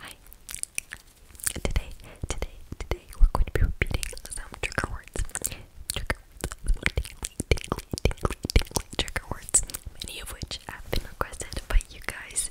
Hi. Today, today, today, we're going to be repeating some trigger words. Trigger words. Many of which have been requested by you guys.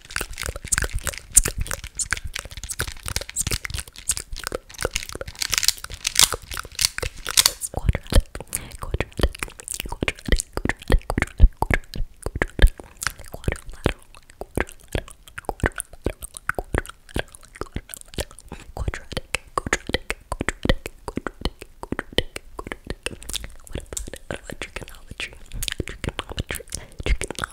quadratic, quadratic, quadratic, quadratic, quadratic, quadratic, quadrilateral, quadrilateral, quadrilateral, quadrilateral, quadratic, quadratic, quadratic, quadratic, quadratic, quadratic. What about trigonometry? Trigonometry, trigonometry,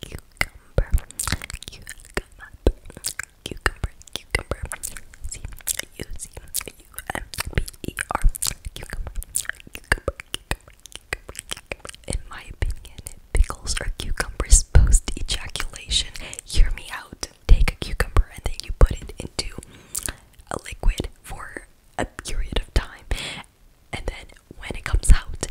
cucumber, cucumber, cucumber, cucumber, C U C U M B E R, cucumber, cucumber, cucumber. In my opinion, pickles are cucumbers post ejaculation. Hear me out. Take a cucumber and then you put it into a liquid for a period of time and then when it comes out,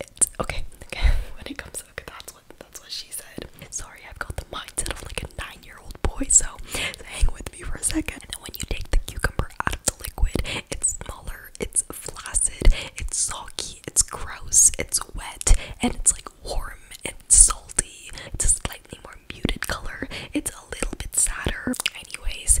it's okay. okay. when it comes out, that's what that's what she said. Sorry, I've got the mindset of like a nine-year-old boy, so, so hang with me for a second. And then when you take the cucumber out of the liquid, it's smaller, it's flaccid, it's soggy, it's gross, it's wet, and it's like warm and salty. It's a slightly more muted color. It's a little bit sadder. Anyways,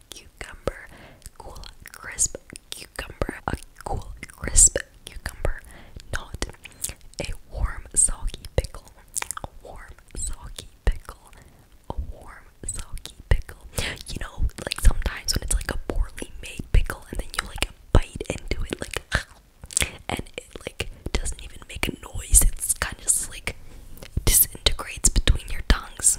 cucumber, cool crisp cucumber, a cool crisp cucumber, not a warm soggy pickle, a warm soggy pickle, a warm soggy pickle. You know, like sometimes when it's like a poorly made pickle and then you like bite into it like and it like doesn't even make a noise. It's kind of just like disintegrates between your tongues.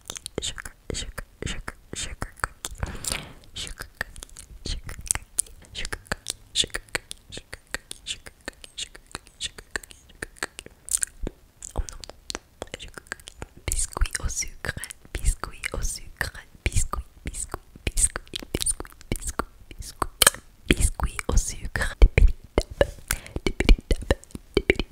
cookie, sugar, sugar, sugar, sugar cookie, sugar cookie, sugar cookie, sugar cookie, sugar cookie, sugar cookie, sugar cookie, sugar cookie, sugar cookie, sugar cookie. Oh non, sugar cookie. Biscuit au sucre, biscuit au sucre, biscuit, biscuit, biscuit, biscuit, biscuit, biscuit, biscuit au sucre. Tippity tap, tippity tap, tippity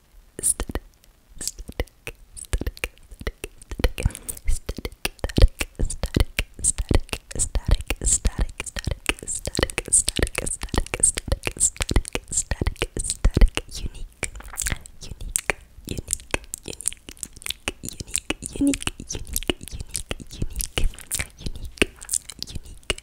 static, static, static, static, static, static, static, static, static, static, static, static, static, static, static, static, static, unique, unique, unique, unique, unique, unique, unique, unique, unique, unique, unique, unique,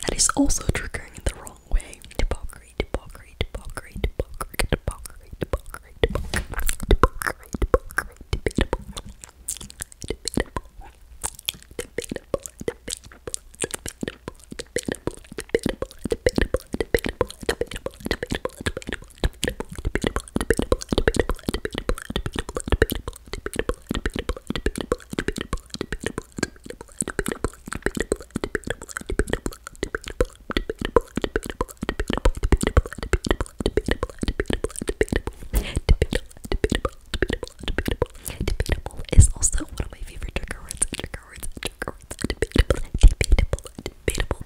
That is also triggering in the wrong way. Debatable, debatable, debatable, debatable, debatable, debatable, debatable, debatable, debatable, debatable, debatable, debatable, debatable, debatable, debatable, debatable, debatable, debatable, debatable, debatable, debatable, Debatable is also one of my favorite trigger words. Trigger words. Trigger words. Debatable. Debatable. Debatable.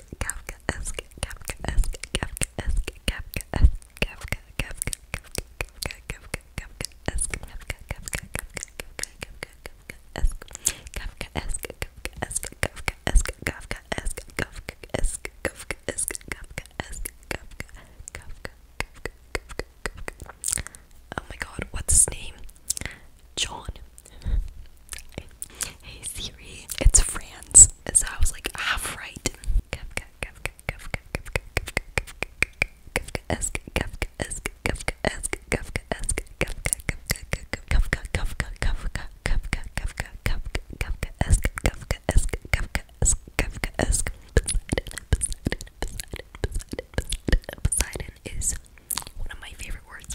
esque, Kafka esque, Kafka esque, Kafka esque, Kafka esque, Kafka, Kafka, Kafka, Kafka, Kafka esque, Kafka, Kafka, Kafka, esque, Kafka esque, Kafka esque, Kafka esque, Kafka esque, Kafka esque, Kafka esque, Kafka esque, Kafka, Kafka, Kafka, Kafka, Kafka. Oh my God, what's his name? John. I Hey Siri, it's Franz. So I was like, half right. Poseidon, is one of my favorite words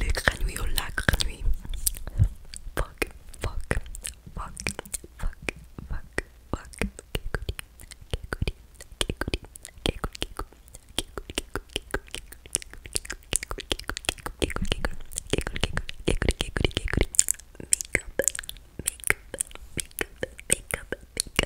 Le granouille au lac granouille Fuck, fuck, fuck, fuck, fuck, fuck. fuck fuck make up, make up,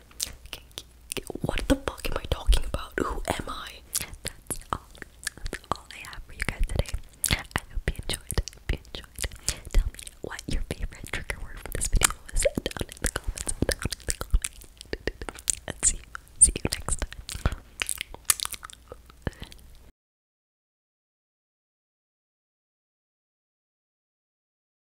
What the fuck am I talking about? Who am I? That's all. That's all I have for you guys today. I hope you enjoyed. I you enjoyed. Tell me what your favorite trigger word from this video was down in the comments. And See you next time.